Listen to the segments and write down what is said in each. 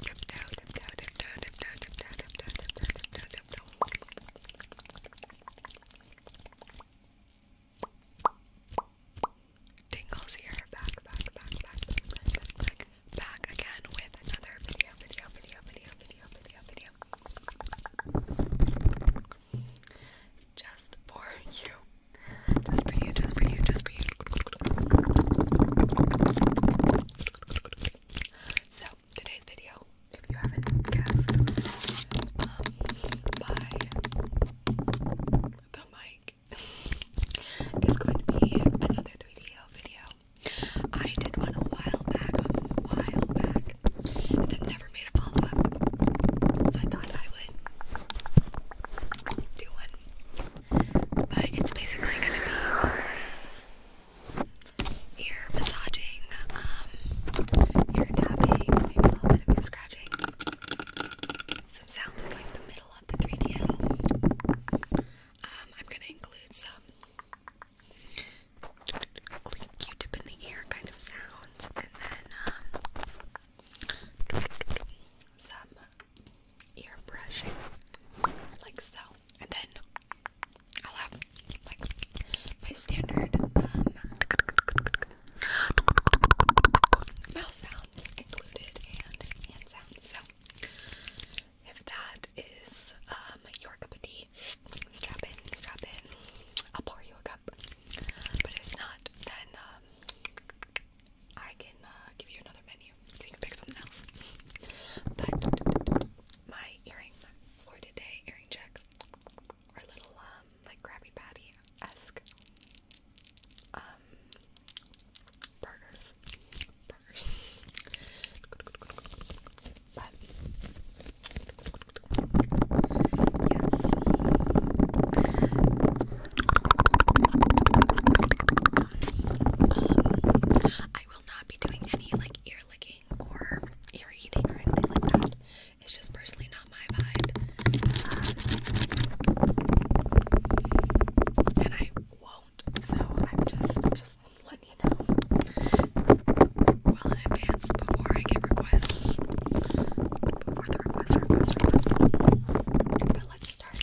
Tiptoe, here. back, back, back, back, back, back. Back again with another video, video, video, video, video, video, video. Just for you. Just for you, just for you, just for you. So today's video, if you haven't guessed, um, the mic, is going to be another 3DL video. I did one a while back, a while back, and then never made a follow up. So I thought I would do one but it's basically gonna be ear massaging, um, ear tapping, maybe a scratching. Some sounds like the middle of the 3D Um, I'm gonna include some Q-tip in the ear kind of sounds, and then um, some ear brushing, like so. And then I'll have like my standard um, Mouse sounds included and hand sounds. So if that is um, your cup of tea, strap in, strap in. I'll pour you a cup. But if it's not, then um, I can uh, give you another menu. you can pick something else. but my earring for today, earring check, are little um, like Krabby Patty esque um, burgers, burgers. but yes. Um, I will not be doing any like ear licking or ear eating or anything like that. It's just personally not my vibe. And I won't, so I'm just just letting you know well in advance before I get requests. Before the requests requests requests. But let's start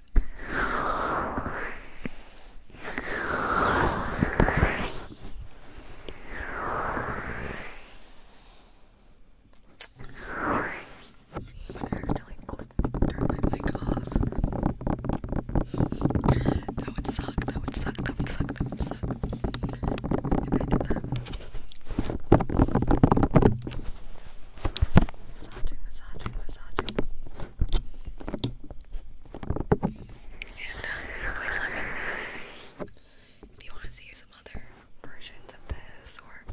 Accidentally clicked, turn my mic off. That would suck, that would suck, that would suck, that would suck. If I did that massaging, massaging, uh, massaging. if you want to see some other versions of this or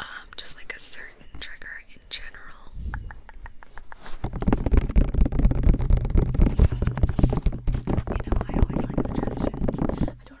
um, just like a certain trigger in general. you know, I always like suggestions. I don't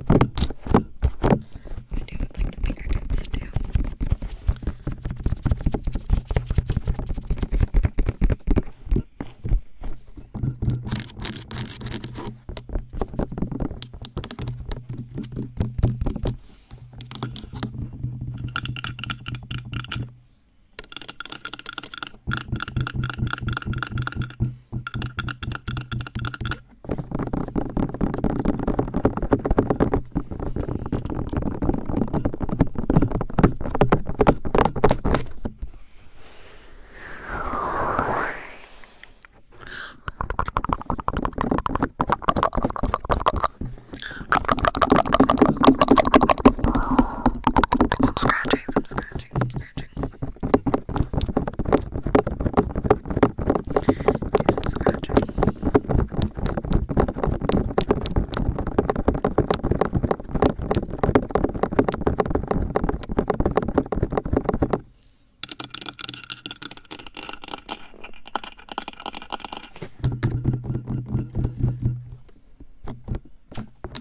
I do with like the fingertips too. I some scratching, some scratching, some scratching scratching. Do some scratching. Okay,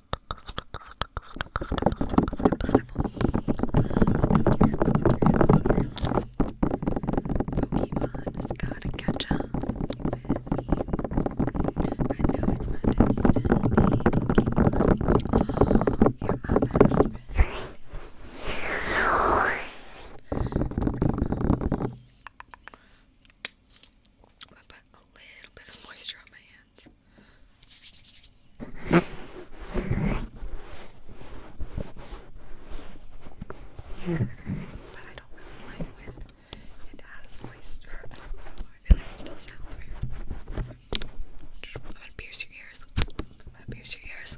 Pokemon gotta catch up with me. I know it's my destiny. Oh, you're my best friend. I put a little bit of moisture on my hands. But I don't really like when it has moisture. I feel like it still sounds weird. I'm gonna pierce your ears. I'm gonna pierce your ears.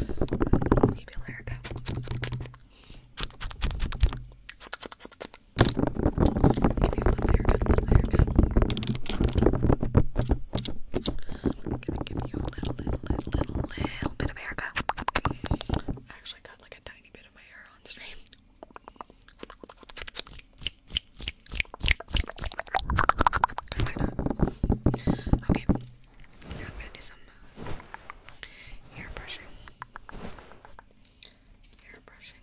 Maybe Lyrica. Maybe one haircut, one haircut. I'm gonna give you a little, little, little, little, little bit of haircut. I actually got like a tiny bit of my hair on stream. Okay, now I'm some hair brushing. Hair brushing.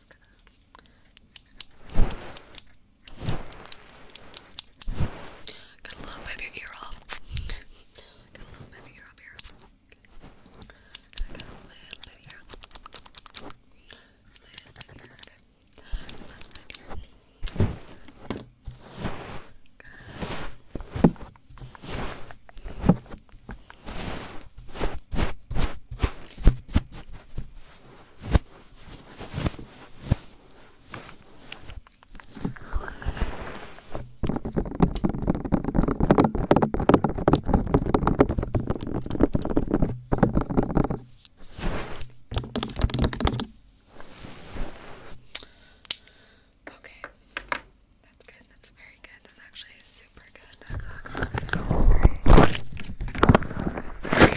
just gonna got a little bit of your ear off. got a little bit of your ear up here. Okay. Got a little bit here. Little bit here. Okay. Little bit here. Good. Okay. Okay, that's good. That's very good. That's actually super good. That's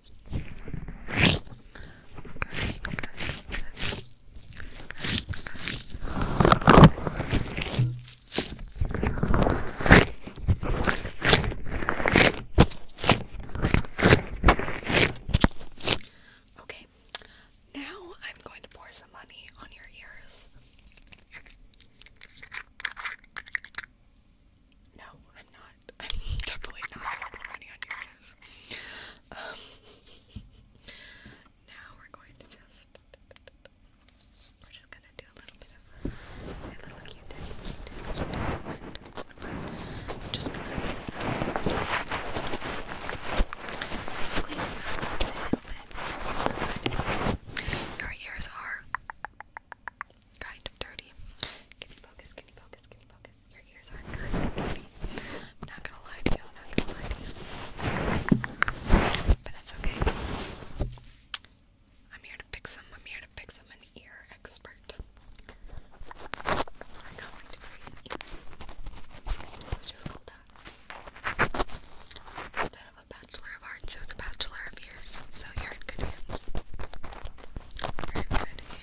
Okay, now I'm going to pour some money on your ears. No, I'm not. I'm definitely not gonna put money on your ears. Um, now we're going to just we're just gonna do a little bit of a, little cute, cute, cute, cute. Just gonna just clean them Your ears are kind of dirty. Can focus? Can focus? Can focus? your ears aren't curved and I'm not gonna lie to you, I'm not gonna But that's okay. I'm here to fix them, I'm here to fix them, an ear expert. I know what to create ears. just call that. Instead of a bachelor of arts, it was a bachelor of ears. So you in good hands. you good hands.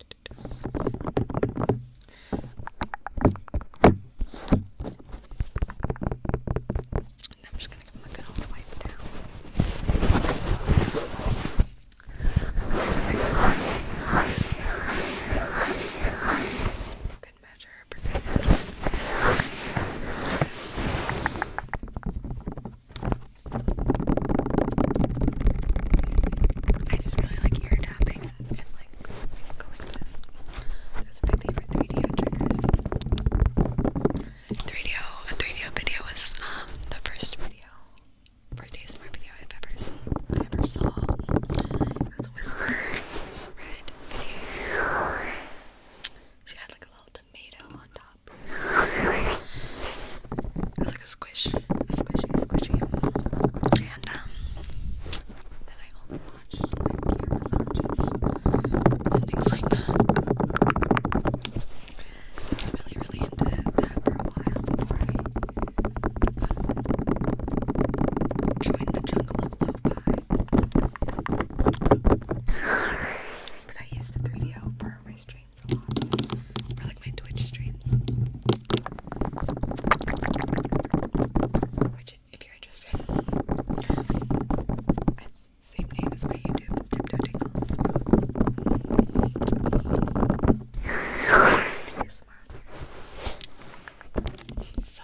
I'm just gonna come like all the wipe down. good measure. I just really like ear tapping. 3DO 3DO, video was um the first video, first ASMR video I've ever seen, I ever saw. It was a whisper, red She had like a little tomato on top. It was like a squish, a squishy, squishy. And um, that I only watch like and things like that. I was really, really into that for a while before I um, joined the jungle of lo but I used the 3DO for my streams a lot, for like my Twitch streams. Which, if you're interested, same name as my YouTube, it's Tiptoe Tingle. so.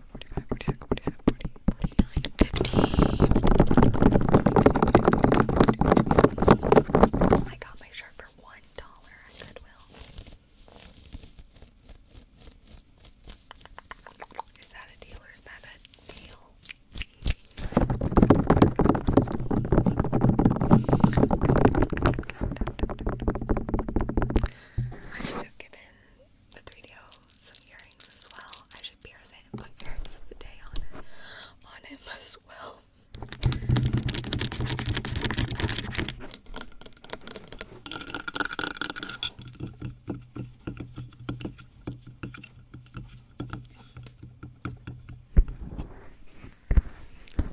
45, 46, 47, 49, 50. my shirt for one dollar at Goodwill. Is that a deal or is that a deal? I should have given the 3DO some earrings as well. I should pierce it and put earrings of on on him as well.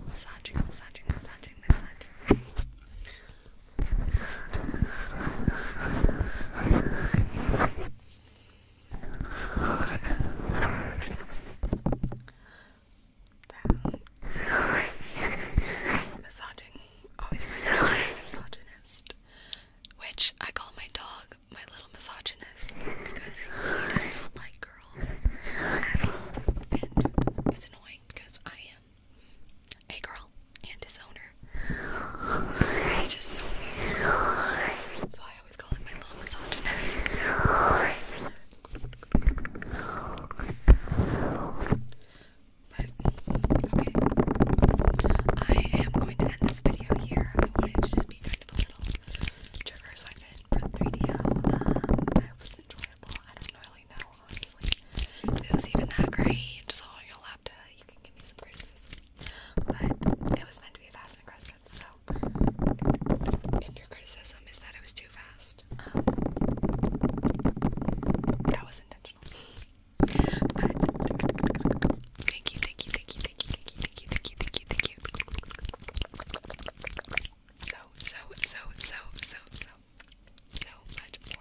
Massaging, massaging, massaging, massaging. Massaging misogynist, which I call my dog my little misogynist because he does not like girls And it's annoying because I am a girl and his owner. He's just so weird. So I always call him my little misogynist. But, okay. I am going to end this video here. I wanted to just be kind of a little trigger assignment for 3DO. Um, I hope it's I don't really know, honestly. it was even that great, so you'll have to, you can give me some criticism. But it was meant to be fast and aggressive, so if your criticism is that it was too fast, um, that was intentional. But thank you, thank you, thank you, thank you, thank you, thank you, thank you, thank you. So, so, so, so, so, so, so much